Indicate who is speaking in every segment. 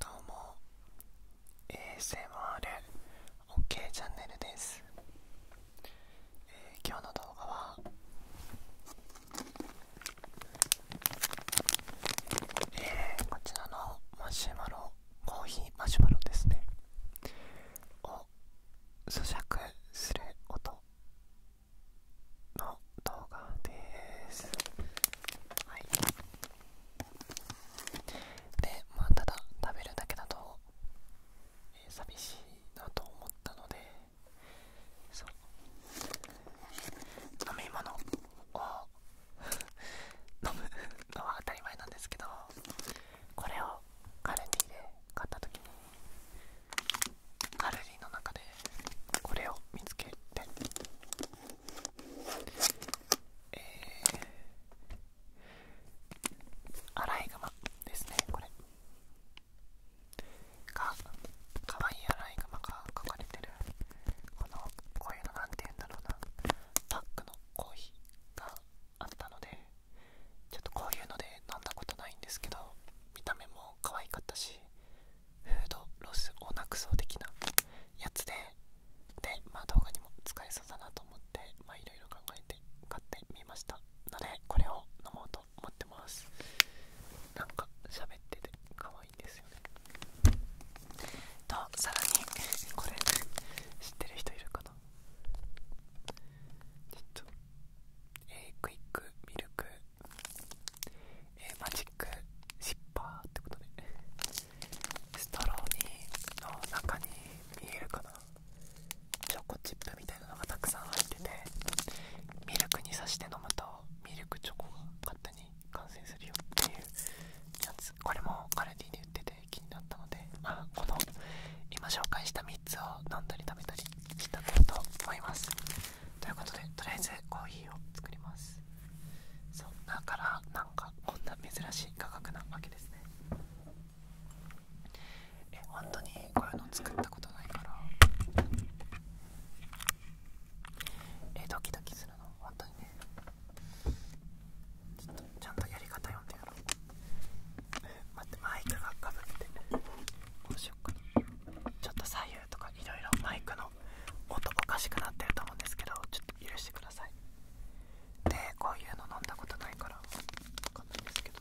Speaker 1: どうも ASMROK チャンネルです、えー、今日の動画はえー、こちらのマシュマロコーヒーマシュマロですねを咀嚼する音の動画ですはいでまあただ食べるだけだと、え寂しいなと思ったのでそう飲み物を 飲むのは当たり前なんですけどこれをカルディで買った時にカルディの中でこれを見つけてえー、アライグマですねこれがかわいいアライグマが描かれてるこのこういうのなて言うんだろうなパックのコーヒーがあったのでちょっとこういうので飲んだことないんですけど見た目も可愛かったしフードロスをなくそ的なやつでで、まあ、動画にも使えそうだなと思ってまあいろいろ考えて買ってみましたのでこれを飲もうと思ってますなんか喋ってて可愛いんですよねとさらにこれ知ってる人いるかなちょっとえー、クイックミルクえー、マジックシッパーってことでストローにの中に見えるかなチョコチップみたいなのがたくさん入っててミルクに刺して飲むとミルクチョコが勝手に完成するよっていうやつこれもカルディで売ってて気になったので、まあ、この今紹介した3つを飲んだり食べたりしたんだろうと思いますということでとりあえずコーヒーを作りますそうだからなんかこんな珍しい価格なわけですねえ本当にこういうの作ったことないからえドキドキするの本当にねちょっとちゃんとやり方読んでやろう待ってマイクがかぶってどうしよっかなちょっと左右とかいろいろマイクの音おかしくなってると思うんですけどちょっと許してくださいでこういうの飲んだことないから分かんないんですけど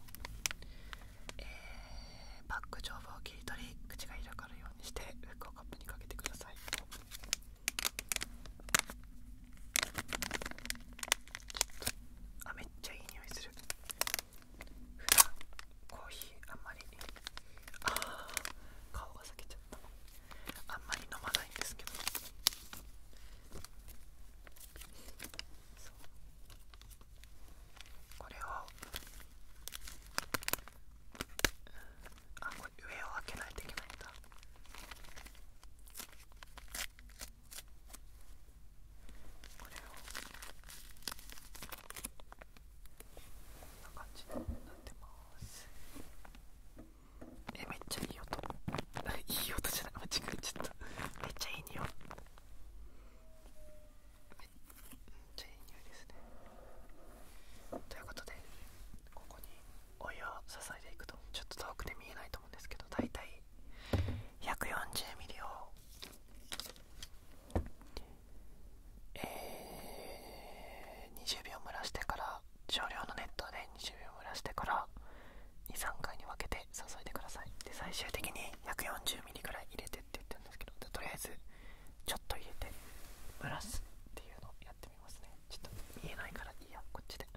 Speaker 1: えー、バッグ上部を切り取り口が開かるようにして服をカップにかけてくださいちょっとあめっちゃいい匂いする普段コーヒーあんまりああ顔が裂けちゃったあんまり飲まないんですけどこれをあこれ上を開けないといけないんだこれをこんな感じになってます。えめっちゃいい音 いい音じゃない間違えちゃっためっちゃいい匂いめっちゃいい匂いですねということでここにお湯を注いでいくとちょっと遠くで見えないと思うんですけどだいたい約40ミリをえ20秒蒸らしてから少量の熱湯で20秒蒸らしてから23回に分けて注いでくださいで最終的に1 40ml ぐらい入れてって言ってるんですけどとりあえずちょっと入れて蒸らすっていうのをやってみますねちょっと見えないからいいやこっちで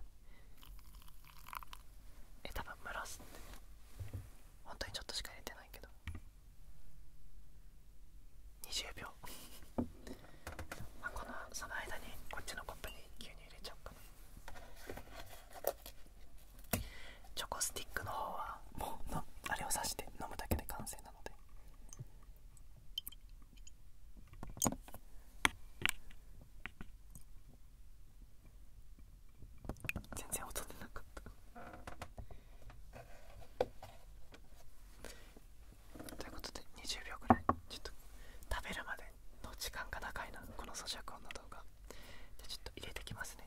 Speaker 1: え多分蒸らすって本当にちょっとしか入れてないけど20秒このその間にこっちのコップに急に入れちゃおうかなチョコスティックの方はもうあれを刺して飲むだけで完成なので全然音出なかったということで20秒くらいちょっと食べるまでの時間が長いなこの咀嚼音の動画じゃちょっと入れてきますね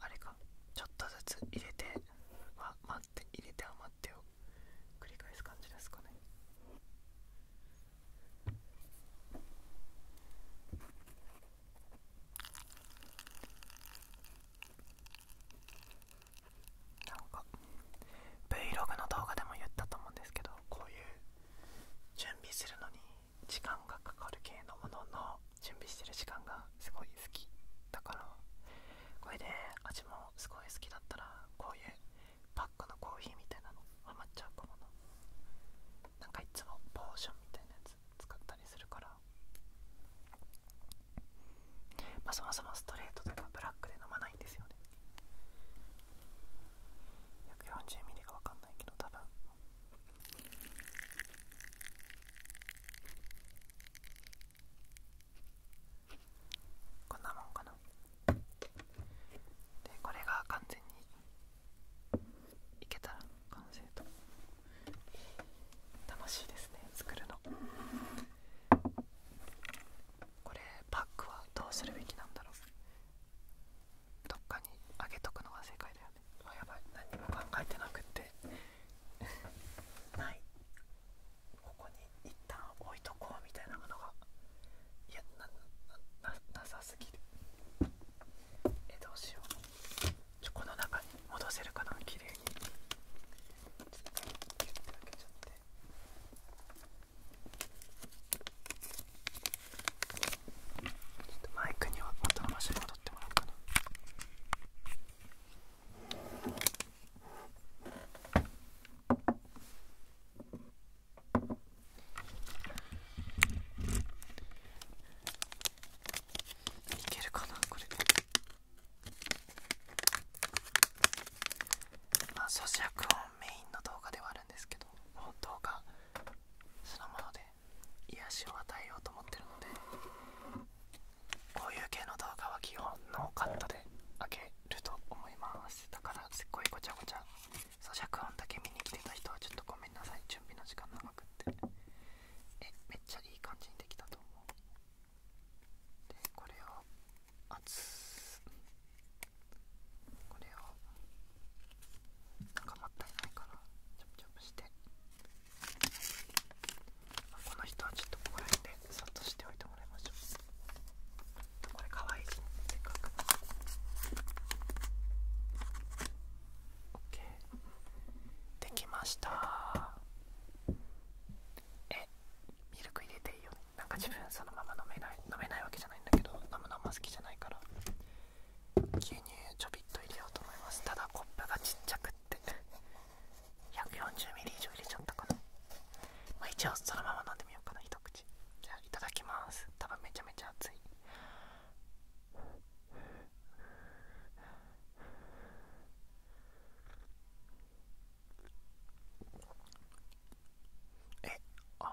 Speaker 1: あれかちょっとずつ入れてはず。余入れて余ってを繰り返す感じですかねなんか Vlog の動画でも言ったと思うんですけどこういう準備するのに時間がかかる系のものの準備してる時間がすごい好きだからこれで味もすごい好きだったらこういうパックのコーヒーみたいなのハマっちゃうかもなんかいつもポーションみたいなやつ使ったりするからまあそもそもストレートとかブラックで飲まないんですよね140ミリが分かんないけど多分こんなもんかなでこれが完全にいけたら完成と楽しいですね作るのこれパックはどうするべきなんだろうどっかにあげとくのが正解だよねあやばい何も考えてなくってないここに一旦置いとこうみたいなものがいやななななさすぎるえどうしようちょこの中に戻せるかな綺麗にちょっとキュッて開けちゃってちょっとマイクには元の場所に戻ってもらおうかな。いけるかなこれま咀嚼音メインの動画ではあるんですけど本動画そのもので癒しを与えようと思ってるのでこういう系の動画は基本ノーカットで開けると思いますだからすっごいごちゃごちゃ咀嚼音だけ見に来てた人はちょっとごめんなさい準備の時間長くってえめっちゃいい感じにできたと思うでこれを熱これをなんかもったないからチョプチョプしてこの人はちょっとここら辺でそっとしておいてもらいましょうこれかわいいしねせかく OK できましたえミルク入れていいよねなんか自分そのまま飲めない飲めないわけじゃないんだけど飲むのあんま好きじゃないから牛乳ちょびっと入れようと思いますただコップがちっちゃくって1 4 0ミリ以上入れちゃったかなまあ一応そのまま飲んでみようかな一口じゃあいただきます多分めちゃめちゃ熱いえあ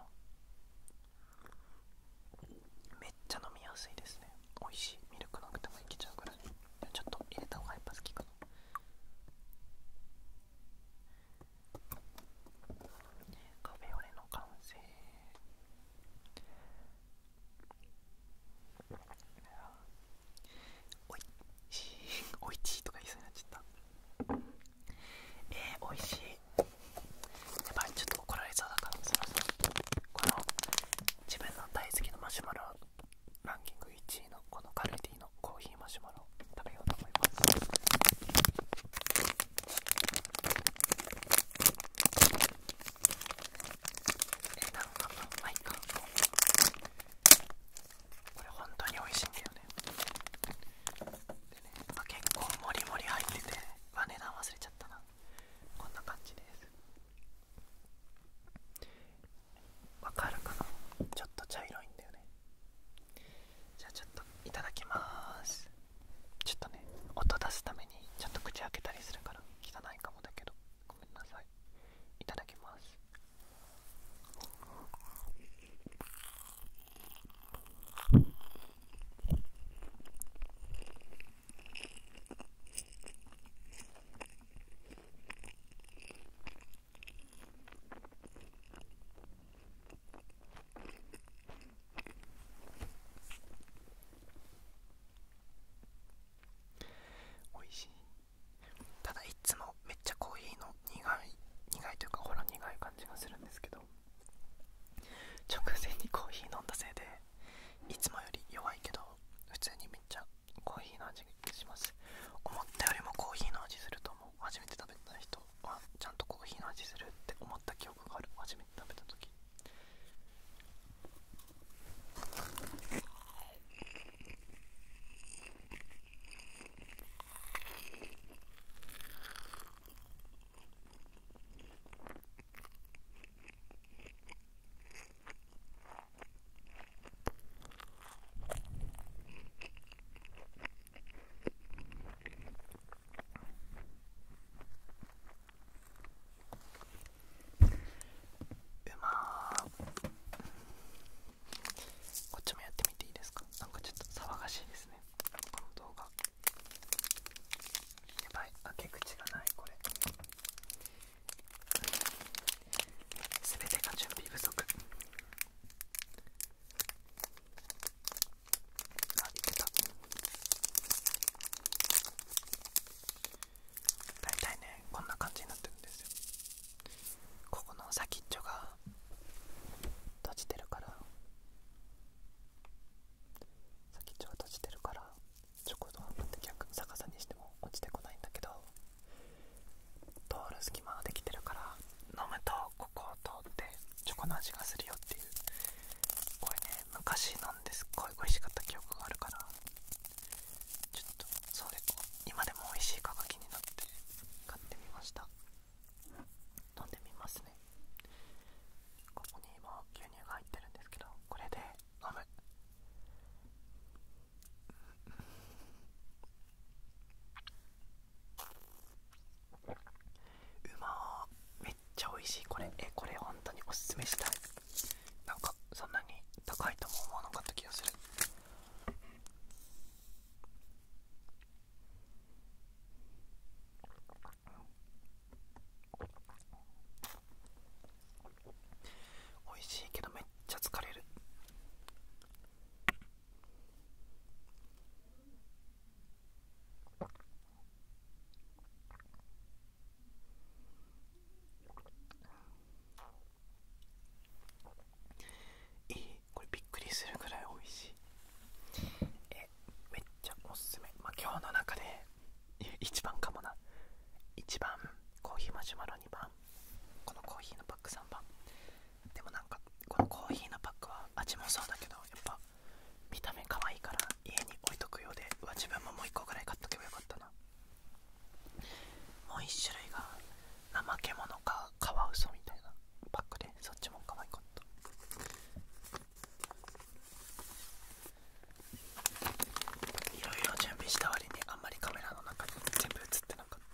Speaker 1: めっちゃ飲みやすいですね美味しいミルクなくてもいけちゃうくらいちょっと入れた方がやっぱ好きかなカフェオレの完成おいしいおいしいとか言いそうになっちゃったえー、おいしいやっぱりちょっと怒られそうだからそろそろこの自分の大好きなマシュマロランキング1位のこのカルディのコーヒーマシュマロ食べようと思いますえなんかマいカこれ本当に美味しいんだよね結構もりもり入っててあ値段忘れちゃったなこんな感じですわかるかなちょっと茶色いんだよねじゃあちょっといただきますちょっとね音出すためにちょっと口開けたりするから汚いかもだけどごめんなさいいただきますおいしいただいつもめっちゃコーヒーの苦い苦いというかほら苦い感じがするんですけど直前にコーヒー飲んだせいでいつもより弱いけど普通にめっちゃコーヒーの味がします思ったよりもコーヒーの味すると思う初めて食べた人はちゃんとコーヒーの味するって思った記憶がある初めて食べた時うまーこっちもやってみていいですかなんかちょっと騒がしいですねこの動画やばい開け口がないこれ全てが準備不足あってた大体ねこんな感じになってるんですよここの先っちょが閉じてるから先っちょが閉じてるからちょこっと半分で逆逆さにしても落ちてこないんだけど通る隙間ができてるから飲むとここを通ってチョコの味がするよっていうこれね昔飲んですっごい美味しかった記憶があるからちょっとそれ今でも美味しいかが気になって買ってみました飲んでみますねここにも牛乳が入ってるんですけどこれで飲むうまーめっちゃ美味しいこれえこれ本当におすすめしたいなんかそんなに高いとも思わなかった気がする美味しいけどめっちゃ疲れるいいこれびっくりするぐらい美味しいえめっちゃおすすめまあ今日の中で一番かもな一番コーヒーマシュマロ2番このコーヒーのパック3番でもなんかこのコーヒーのパックは味もそうだけどやっぱ見た目可愛いから家に置いとくようでうわ自分ももう1個ぐらい買っとけばよかったなもう1種類が怠け者かカワウソみたいなパックでそっちも可愛かったいろいろ準備した割にあんまりカメラの中に全部映ってなかっ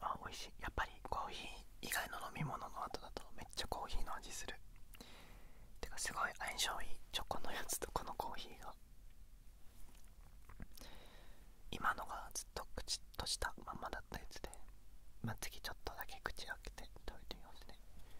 Speaker 1: あ美味しいやっぱりコーヒー以外の飲み物の後だとめっちゃコーヒーの味するてかすごい相性いいチョコのやつとこのコーヒーが今のがずっと口としたまんまだったやつでまあ次ちょっとだけ口開けて食べてみますね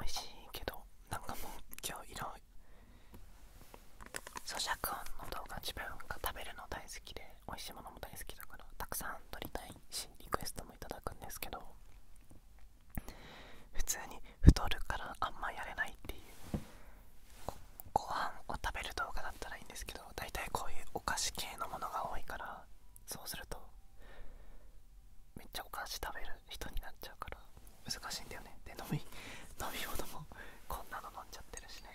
Speaker 1: 美味しいけどなんかもう今日色咀嚼音の動画自分が食べるの大好きで美味しいものも大好きだからたくさん撮りたいしリクエストもいただくんですけど普通に太るからあんまやれないっていうご飯を食べる動画だったらいいんですけど大体こういうお菓子系のものが多いからそうするとめっちゃお菓子食べる人になっちゃうから難しいんだよねで飲み 飲み物もこんなの飲んじゃってるしね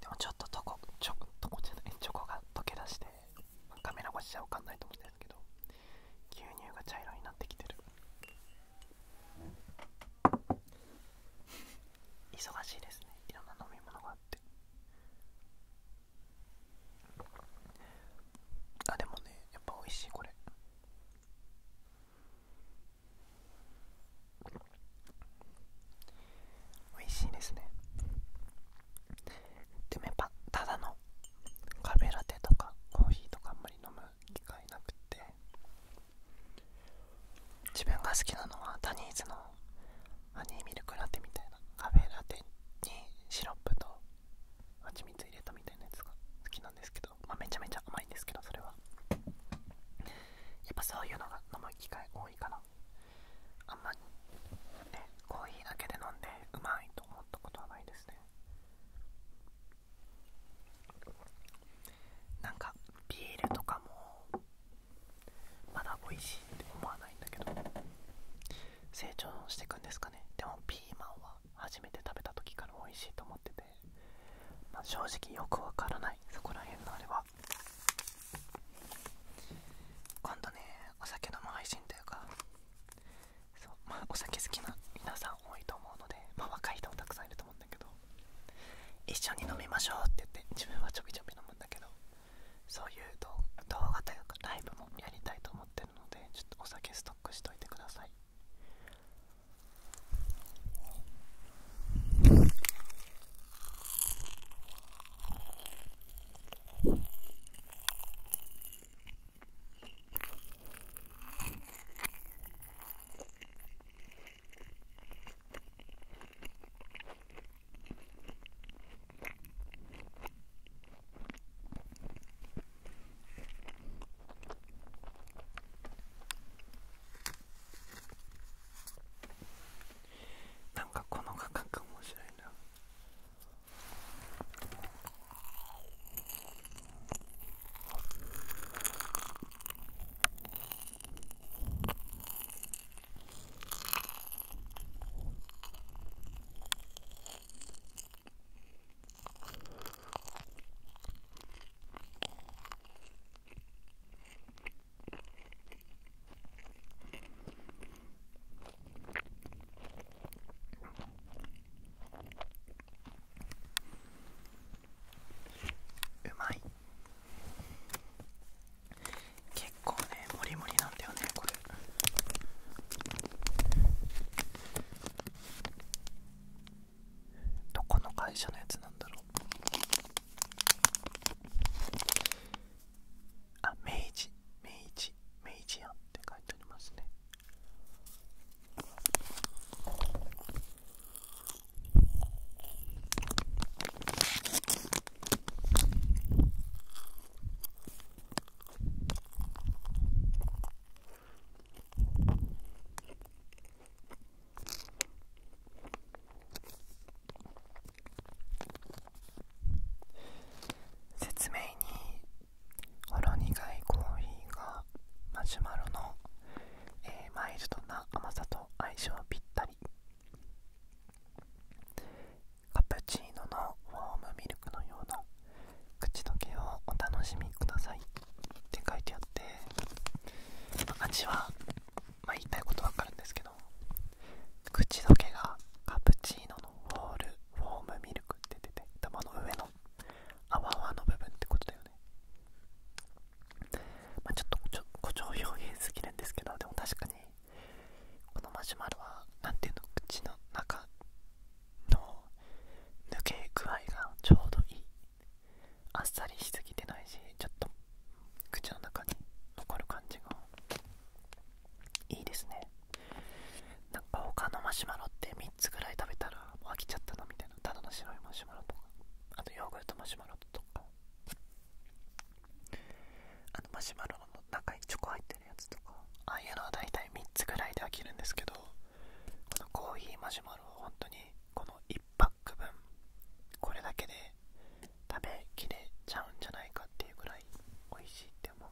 Speaker 1: でもちょっととこちょとこじゃないチョコが溶け出してカメラ越しじゃ分かんないと思ってるんですけど牛乳が茶色になってきてる忙しいですねいろんな飲み物があってあでもねやっぱ美味しいこれ美味しいですねでもやっぱただのカフェラテとかコーヒーとかあんまり飲む機会なくて自分が好きなのはタニーズのハニーミルクラテみたいなカフェラテにシロップと蜂蜜入れたみたいなやつが好きなんですけど、まあ、めちゃめちゃ甘いんですけどそれはやっぱそういうのが飲む機会多いかなあんまり、ね、コーヒーだけで飲んでうまいと思ったことはないですねなんかビールとかもまだ美味しいって思わないんだけど成長していくんですかねでもピーマンは初めて食べた時から美味しいと思ってて、正直よくわからないそこら辺のあれは今度ねお酒飲む配信というかそう、まあ、お酒好きな皆さん多いと思うので、ま若い人もたくさんいると思うんだけど一緒に飲みましょうって言って自分はちょびちょび飲むんだけどそういう動画というかライブもやりたいと思ってるのでちょっとお酒ストックしといてくださいなんかこの価格面白いな。うまい結構ねモリモリなんだよねこれどこの会社のやつなんだろうあ明治明治明治屋って書いてありますね説明にほろ苦いコーヒーがマシュマロの、えー、マイルドな甘さと相性ぴったりカプチーノのフォームミルクのような口どけをお楽しみくださいって書いてあって味は、ま言いたいことわかるんですけど口どけがカプチーノのフォールフォームミルクって出て頭の上の泡泡の部分ってことだよね、まちょっと誇張表現すぎるんですけどでも確かにこのマシュマロは何ていうの口の中の抜け具合がちょうどいいあっさりしすぎてないしちょっと口の中に残る感じがいいですねなんか他のマシュマロって3つぐらい食べたらも飽きちゃったの。みたいなただの白いマシュマロとかあとヨーグルトマシュマロとかあのマシュマロの中にチョコ入ってるやつとかああいうのは大体3つぐらいで飽きるんですけどこのコーヒーマシュマロは本当にこの1パック分これだけで食べきれちゃうんじゃないかっていうぐらい美味しいって思う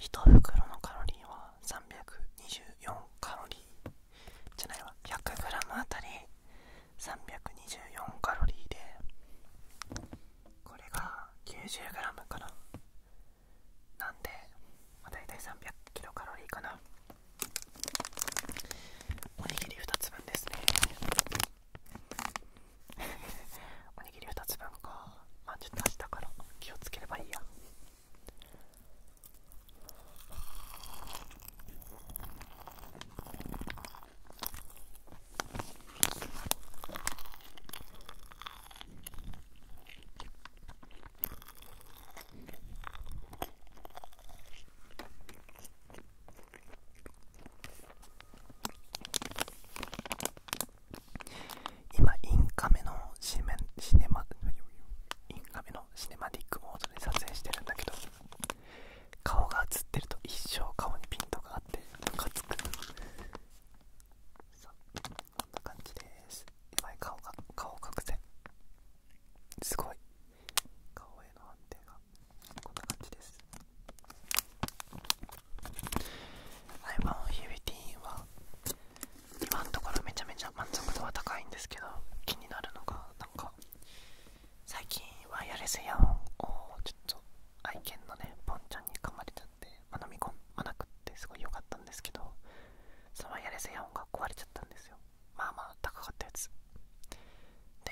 Speaker 1: 1袋のカロリーは324カロリー 100g あたり324カロリーでこれが 90g かななんで、まあ、大体300キロカロリーかなおにぎり2つ分ですね おにぎり2つ分かまあちょっと明日から気をつければいいや今インカメのシメシネマイン画面のシネマティックモードで撮影してるんだけど顔が映ってると一生顔にピントがあってムカつくさあこんな感じですやばい顔が顔隠せすごい顔への安定がこんな感じです iPhone ヒビティーンは今のところめちゃめちゃ満足度は高いんですけど気になるのがなんか最近ワイヤレスイヤホンをちょっと愛犬のねぽんちゃんに噛まれちゃって、ま飲み込まなくてすごい良かったんですけどそのワイヤレスイヤホンが壊れちゃったんですよまあまあ高かったやつで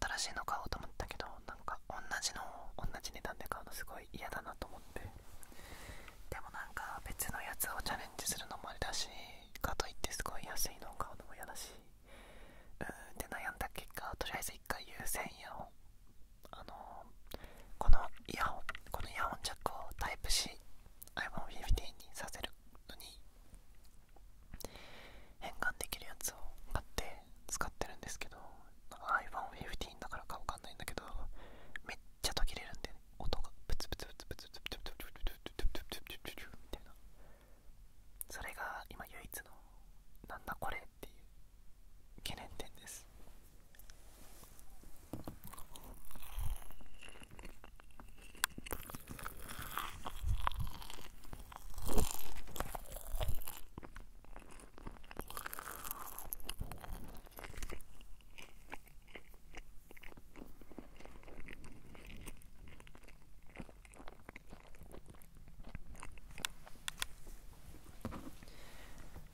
Speaker 1: 新しいの買おうと思ったけどなんか同じの同じ値段で買うのすごい嫌だなと思ってでもなんか別のやつをチャレンジするのもあれだしかといってすごい安いのを買うのも嫌だしうーんで悩んだ結果とりあえず1回有線やヤあのこのイヤホンこのイヤホンジャックをタイプし、iPhone15 にさせるのに変換できるやつを買って使ってるんですけど iPhone15 だからかわかんないんだけどめっちゃ途切れるんでね音がプツプツプツプツプツプツプツプツプツプツプツプツみたいなそれが今唯一のなんだこれっていう懸念点です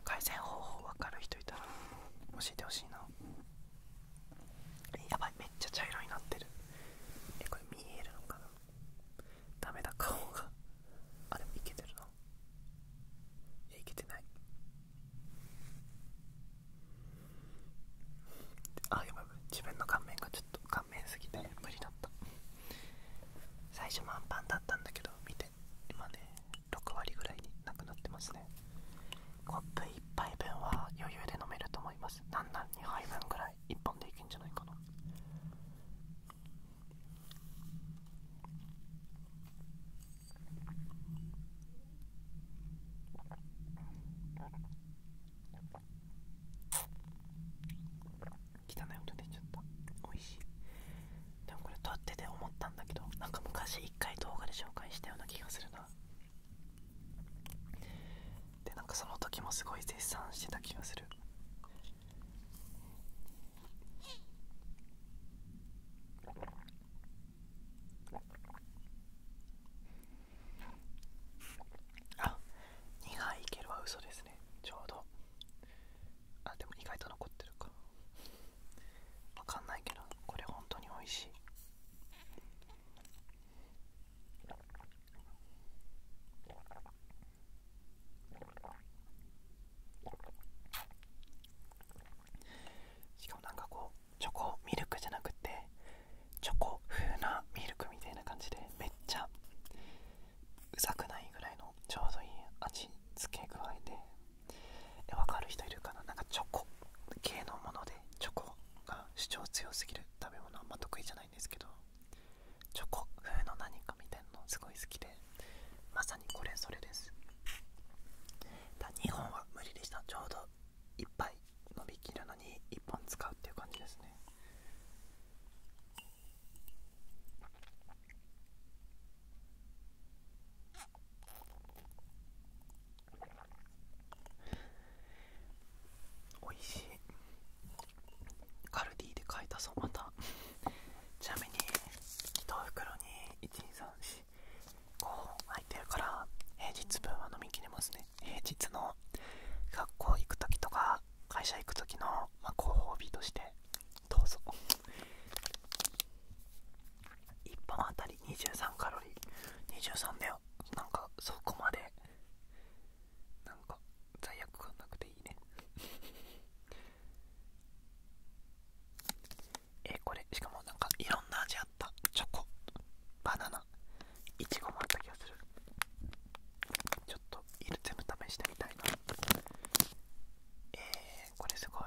Speaker 1: 改善方法分かる人いたら教えてほしいなやばいめっちゃ茶色になってるえこれ見えるのかなダメだ顔があれいけてるないけてないあやばい自分の顔面がちょっと顔面すぎて無理だった最初満パンだったんだけど見て今ね6割ぐらいになくなってますねコップ1杯分は余裕で飲めると思いますなんなん2杯分ぐらい1本でいけんじゃないかな汚い音出ちゃった美味しいでもこれ撮ってて思ったんだけどなんか昔一回動画で紹介したような気がするなでなんかその時もすごい絶賛してた気がするあ2杯いけるは嘘ですねちょうどあでも意外と残ってるかわかんないけどこれ本当に美味しいしかもなんかこうチョコミルクじゃなくてチョコ風なミルクみたいな感じでめっちゃうざくないぐらいのちょうどいい味付け具合でえ分かる人いるかななんかチョコ系のものでチョコが主張強すぎる食べ物あんま得意じゃないんですけどチョコ風の何かみたいなのすごい好きでまさにこれそれですだ日本は無理でしたちょうどは1杯伸びきるのに1本使うっていう感じですねおいしいカルディで買えたぞまたちなみに1袋に1 2 3しこう空いてるから平日分は飲みきれますね平日の学校行く時とか会社行く時の、まあ、ご褒美としてどうぞ1本あたり23カロリー23だよなんかそこまでなんか罪悪感なくていいねえこれしかもなんかいろんな味あったチョコバナナいちごもあった気がするちょっといる全部試してみたいなえー、これすごい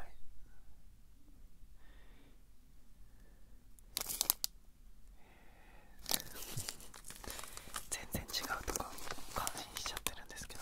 Speaker 1: 全然違うとか感心しちゃってるんですけど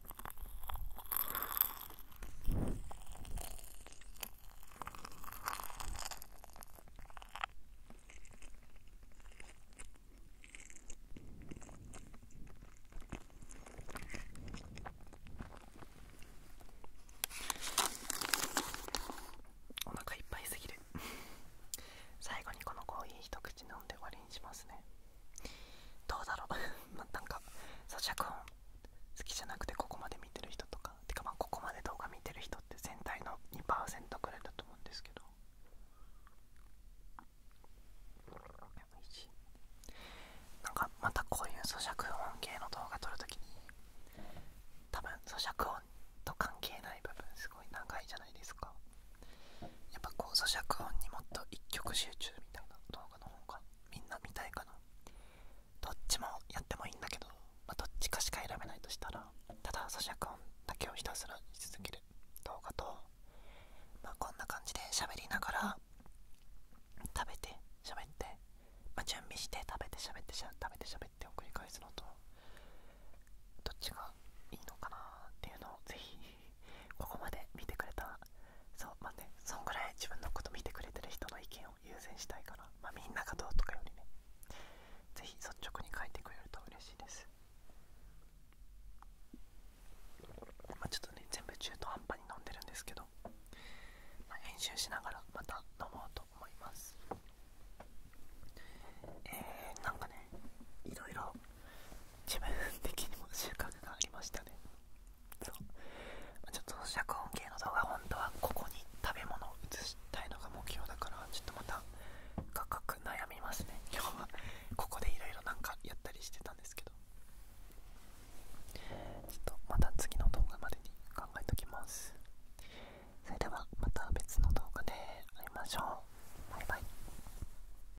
Speaker 1: お腹いっぱいすぎる 最後にこのコーヒー一口飲んで終わりにしますねどうだろう まなんか咀嚼音好きじゃなくてここまで見てる人とかてかまあここまで動画見てる人って全体の2%くらいだと思うんですけどなんかまたこういう咀嚼音系の動画撮る時に多分咀嚼音と関係ない部分すごい長いじゃないですかやっぱこう咀嚼音にもっと一曲集中みたいな動画の方がみんな見たいかなどっちもやってもいいんだけど、まどっちかしか選べないとしたらただ咀嚼音だけをひたすらし続ける動画と、まこんな感じで喋りながら食べて喋って、ま準備して食べて喋ってしゃ食べて喋ってを繰り返すのとどっちがいいのかなっていうのをぜひここまで見てくれたそうまあねそんぐらい自分のこと見てくれてる人の意見を優先したいから、まみんながどうとかよりねぜひ率直に書いてくれると嬉しいですまちょっとね全部中途半端に飲んでるんですけど、まあ、編集しながらまた飲もうと思います自分的にも収穫がありましたねそう、まちょっと遮音系の動画本当はここに食べ物を移したいのが目標だからちょっとまた価格悩みますね 今日はここでいろいろなんかやったりしてたんですけどちょっとまた次の動画までに考えときますそれではまた別の動画で会いましょうバイバイ